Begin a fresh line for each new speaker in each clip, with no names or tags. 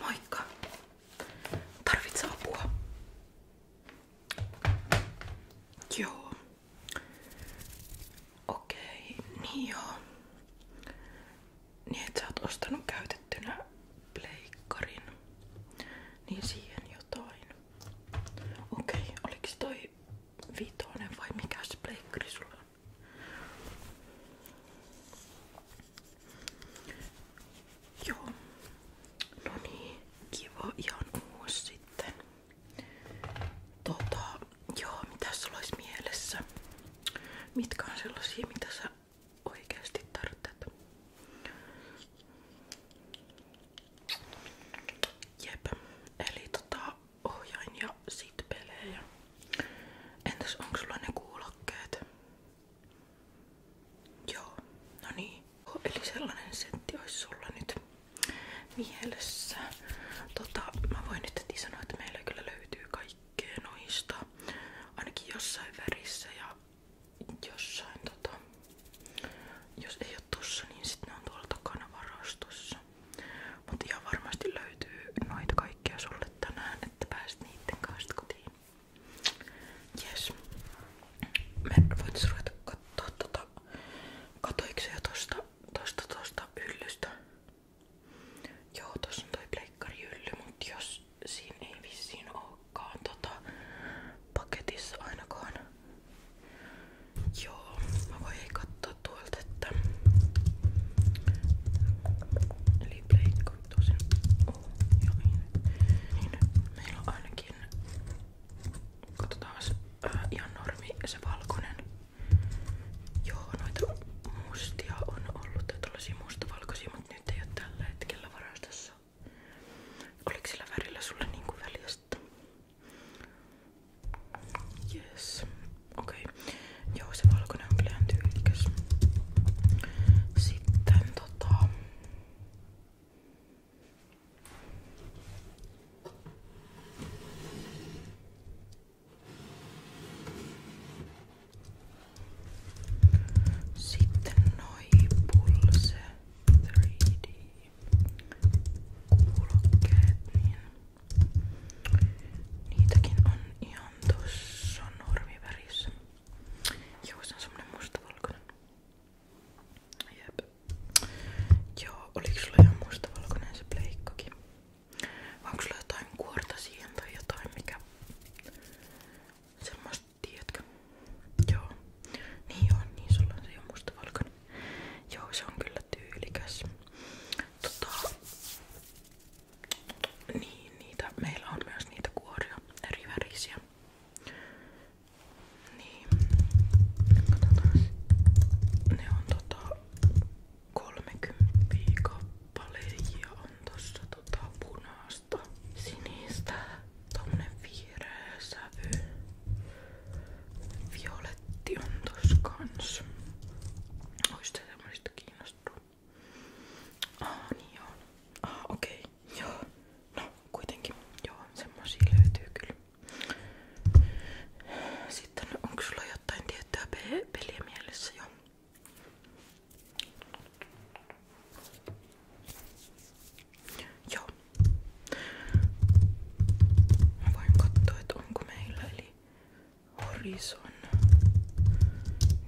Moikka. Tarvitse apua. Joo. Okei, niin joo. Niin et sä oot Niin siihen jotain. Okei, oliko toi vitonen vai mikä se pleikkari sulla on? Joo. No niin, kiva ihan uusi sitten. Tota, joo, mitä sulla olisi mielessä? Mitkä on sellaisia, mitä sä oikeasti tarvitset? Jep, eli tota, ohjain ja sit pelejä. Entäs onko sulla ne kuulokkeet? Joo, no niin. Oh, eli sellainen setti olisi sulla nyt mielessä. Tota, mä voin nyt heti että meillä löytyy kaikkea noista. Ainakin jossain värissä ja jossain tota, jos ole tossa, niin sitten ne on tuolla takana varastossa. Mutta ihan varmasti löytyy noita kaikkia sulle tänään, että pääset niitten kanssa kotiin. Jes. Me voitais ruveta kattoo tota... Katoiko se jo tosta, tosta, tosta hyllystä? Joo, tossa on toi pleikkarihylly, mut jos siinä ei vissiin olekaan tota paketissa ainakaan Joo, mä voin katsoa tuolta, että eli pleikko tosin oh, joo, niin. niin meillä on ainakin katsotaan ää, ihan normi se valkoinen joo, noita mustia on ollut tai tollasia mustavalkoisia, mutta nyt ei oo tällä hetkellä varastossa oliko sillä värillä sulle niinku väliä Yes. Okay. Joo, se valkoinen on kyllä tyylikäs. Sitten tota... Sitten noi pulse 3D kuulokkeet, niin niitäkin on ihan tossa normivärissä. Joo, se on semmonen mustavalkoinen. Jep. Joo, oliks sulla ihan mustavalkoinen se pleikkakin? Vai onko sulla jotain kuorta siihen tai jotain mikä? Semmosta, tiedätkö? Joo. Niin on, niin sulla on se jo mustavalkoinen. Joo, se on kyllä tyylikäs. Tota, niin, niitä, meillä on myös niitä kuoria, eri värisiä. Niin, katsotaan. Ne on tota 30 kappaleja on tossa tota punaista, sinistä, tommonen vihreä sävy. Violetti on tossa kans. Ois te semmoista kiinnostunut? Ah, niin joo. Ah, okei. Okay. Joo. No, kuitenkin. Joo, semmosia löytyy kyllä. Sitten onko sulla jotain tiettyä pe peliä mielessä jo? Joo. Mä voin katsoa, että onko meillä eli Horizon.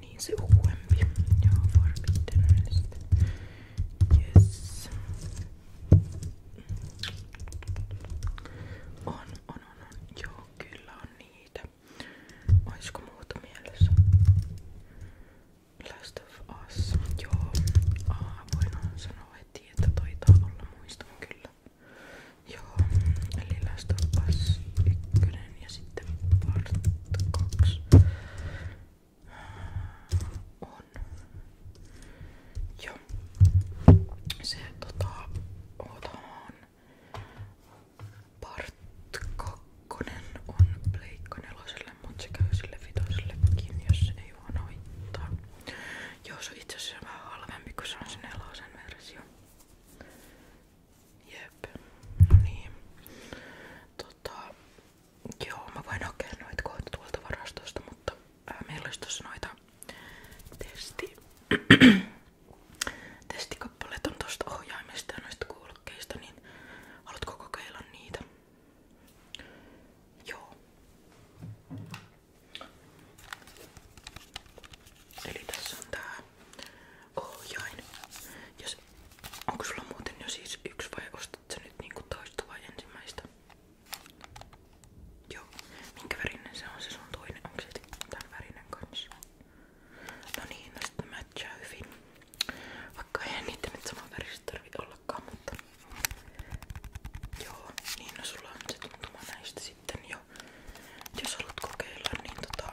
Niin se uudempi. Joo, Forbidden West. Yes. On, on, on, on. Joo, kyllä on niitä. Oisko muuta mielessä? Last of Us. Joo. Aa, ah, voin sanoa heti, että taitaa olla muistan kyllä. Joo. Eli Last of Us 1 ja sitten part 2 ah, on. Joo. Se tota otan part 2 on pleikka neloselle, mutta se käy sille vitosillekin, jos ei juonoittaa. Joo, se on itse asiassa vähän halvempi, kun Jep, no niin. Tota, joo, mä voin hakea noita varastosta, mutta ää, meillä olisi testi. Testikappaleet on tosta ohjaimesta ja noista kuulokkeista, niin haluatko kokeilla niitä? Joo. Eli tässä on tää ohjain. Jos, onko sulla muuten jo siis yksi vai ostat sä nyt niinku toista vai ensimmäistä? Joo. Minkä värinen se on se sun toinen? Onko se tämän värinen kanssa? No niin, no sitten matchaa hyvin. Vaikka eihän niitä nyt saman väristä tarvi olla ollakaan, mutta joo, niin no sulla on se tuntuma näistä sitten jo. Jos haluat kokeilla, niin tota,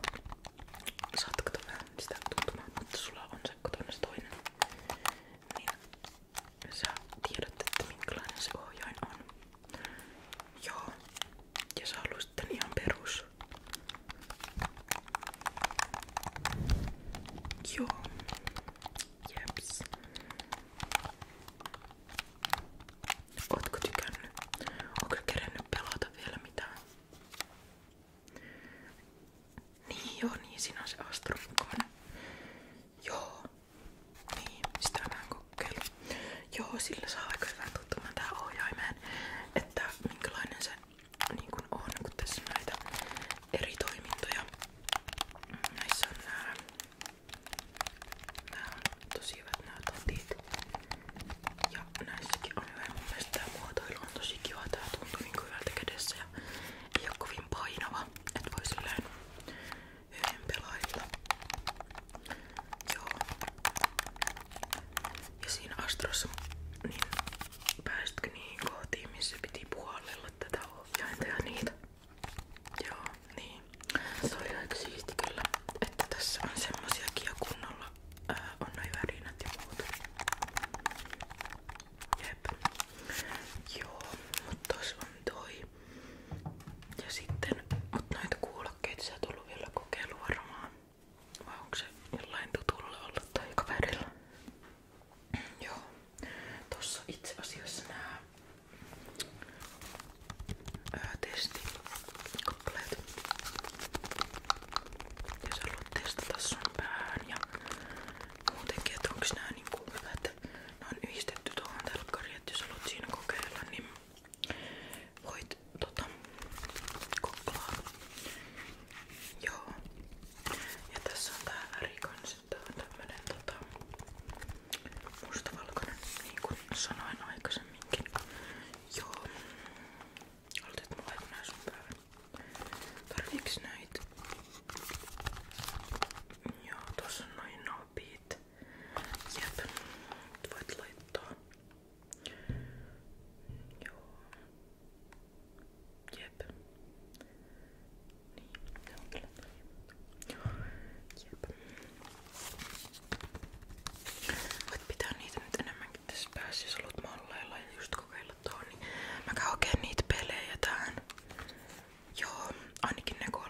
saat kato vähän sitä tuntumaa, mutta sulla on se kotones toinen. Niin sä tiedät, että minkälainen se ohjain on. Joo, ja sä haluaisit tän ihan perus. Ja. Jeps. Ootko tykännyt? Onko kerennyt pelata vielä mitään? Niin joo, niin sinä se Astro Joo. Niin, sitä Joo, sillä saa aika hyvän tuttumaan tähän ohjaimeen, että minkälainen se niin kuin on, kun tässä on näitä eri toimintoja. Näissä on nää, nää on tosi hyvät nää totit. Ja näissäkin on hyvä. Mun mielestä tää muotoilu on tosi kiva. Tää tuntuu niin hyvältä kädessä ja ei oo kovin painava. Et voi silleen hyvin pelailla. Joo. Ja siinä Astrossa niin Pääsitkö niihin kohtiin, missä piti puolella tätä ohjainta ja niitä? Joo, niin. Se oli aika siisti kyllä, että tässä on semmosiakin ja kunnolla ää, on noi värinät ja muut. Jep. Joo, mut tos on toi. Ja sitten, mut noita kuulokkeita sä tullut vielä kokeilu varmaan. Vai onko se jollain tutulla ollut tai kaverilla? Joo. Tossa itse asiassa nämä testikappaleet. Jos haluat testata sun pään ja muutenkin, että onko nää niinku hyvä, että ne on yhdistetty tuohon telkkariin, että jos haluat siinä kokeilla, niin voit tota koklaa. Joo, ja tässä on täällä Rikon sitten tämmönen tota, mustavalkoinen, niin kuin sanoin aikaisemminkin. Joo. Haluat, mulla ei nää sun päivän. Tarviiks näitä? Joo, tossa on noin nopeet. Jep. Voit laittaa. Joo. Jep. Niin, se on kyllä Joo. Jep. Voit pitää niitä nyt enemmänkin tässä päässä, jos haluat malleilla ja just kokeilla tuohon. Niin mä käyn oikein niitä pelejä tähän. Joo, ainakin ne kolme.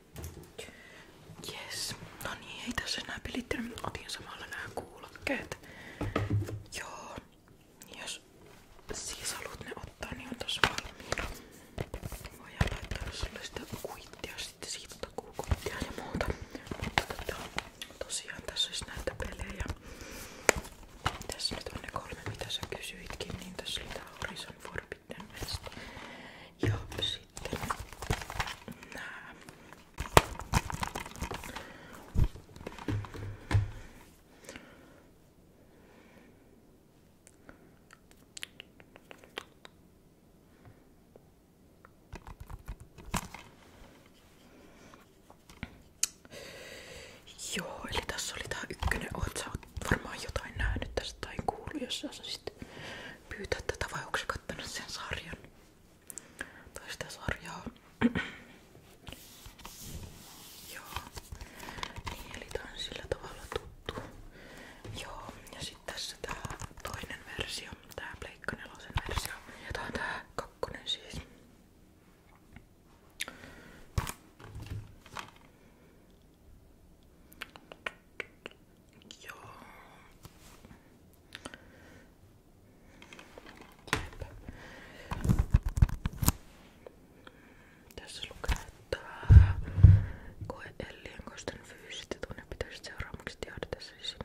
Jes, no niin, ei tässä enää pilittänyt, mutta otin samalla nämä kuulokkeet. Joo, jos siis haluat ne ottaa, niin on tossa valmiina. Voidaan laittaa sulle sitä kuittia, sitten siitä takuukuittia ja muuta. Mutta tota, tosiaan tässä olisi näitä pelejä. Tässä nyt on ne kolme, mitä sä kysyitkin, niin tässä oli tää Horizon Forbidden tämmöistä. Ja Joo, eli tässä oli tää ykkönen, oot varmaan jotain nähnyt tästä tai kuullut, jos sä sitten pyytää tätä vai onko kattanut sen sarjan? Tai sitä sarjaa. Joo. Niin, eli tää on sillä tavalla tuttu. Joo, ja sitten tässä tää toinen versio, tää Pleikka nelosen versio. Ja tää on tää kakkonen siis. Joo. Tässä lukee, että koe Ellienkoisten fyysiset ja tunnepitäiset seuraamukset jahdata siis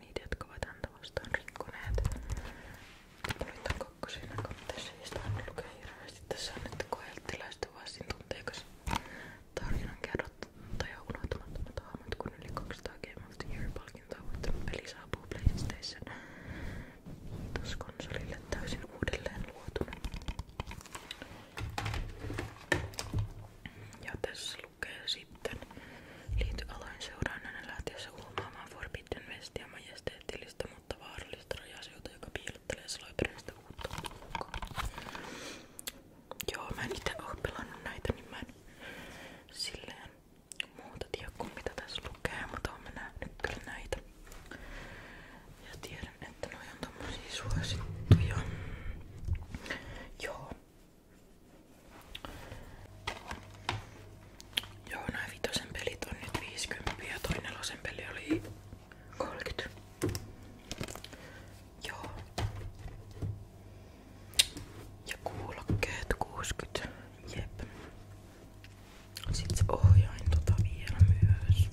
niitä, jotka ovat häntä vastaan rikkoneet. Valittaako pakko siinä, kun tässä ei sitä aina lukee hirveästi. Tässä on nyt koeltiläistä varsin tunteikas tarinan kerrottaja unohtamattomat aamut, kun yli 200 Game of the Year-palkintoa voittanut peli saapuu PlayStation konsolille täysin uudelleen luotuna. Ja tässä lukee sitten liity aloin seuraan lähtiessä huomaamaan Forbidden Westia majesteettillista, mutta vaarallista tältä rajaseuta, joka piilottelee salaperäistä uutta Joo, mä en itse oo pelannut näitä, niin mä en silleen muuta tiedä kuin mitä tässä lukee, mutta oon mä nähnyt kyllä näitä. Ja tiedän, että noi on tommosia suosittuja. Joo. Joo, nää vitosen pelit on nyt 50 ja toi nelosen peli oli 30. Joo. Ja kuulokkeet 60. Jep. Sitten se ohjain tota vielä myös.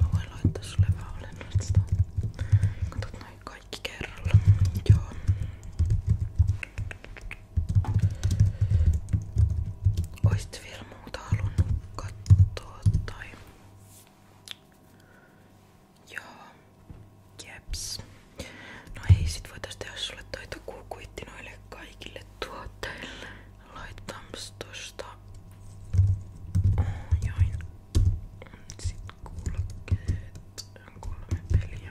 Mä voin laittaa sulle vähän olennaista. Katot noin kaikki kerralla. Joo. Oisit vielä muuta halunnut katsoa tai... Joo. Jeps. No ei sit voitais tehdä sulle toi takuukuitti noille kaikille tuotteille. Laitams tosta join sit kuulokkeet kolme peliä.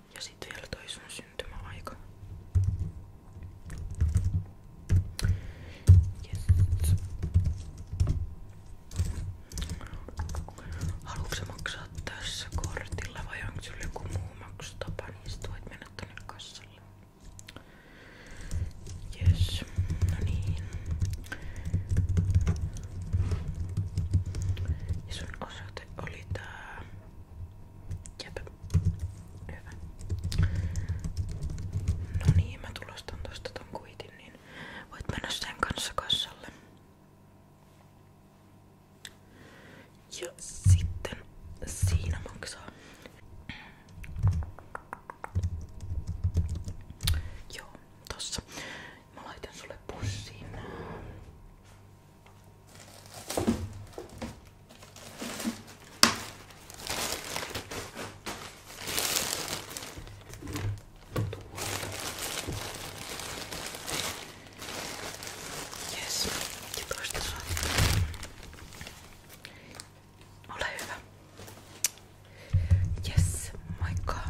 Ja sit vielä toi sun syntymäaika. Yes. Haluatko sä maksaa tässä kortilla vai onko sulla joku muu maksutapa, niin sit voit mennä tonne kassalle. Yes, no niin. Ja sun osoite oli tää Jep. Hyvä. No niin, mä tulostan tosta ton kuitin, niin voit mennä sen kanssa kassalle. Ja sitten siinä maksaa. Joo, tossa. Mä laitan sulle pussiin Jes, ja toista saa. Ole hyvä. Jes, moikka.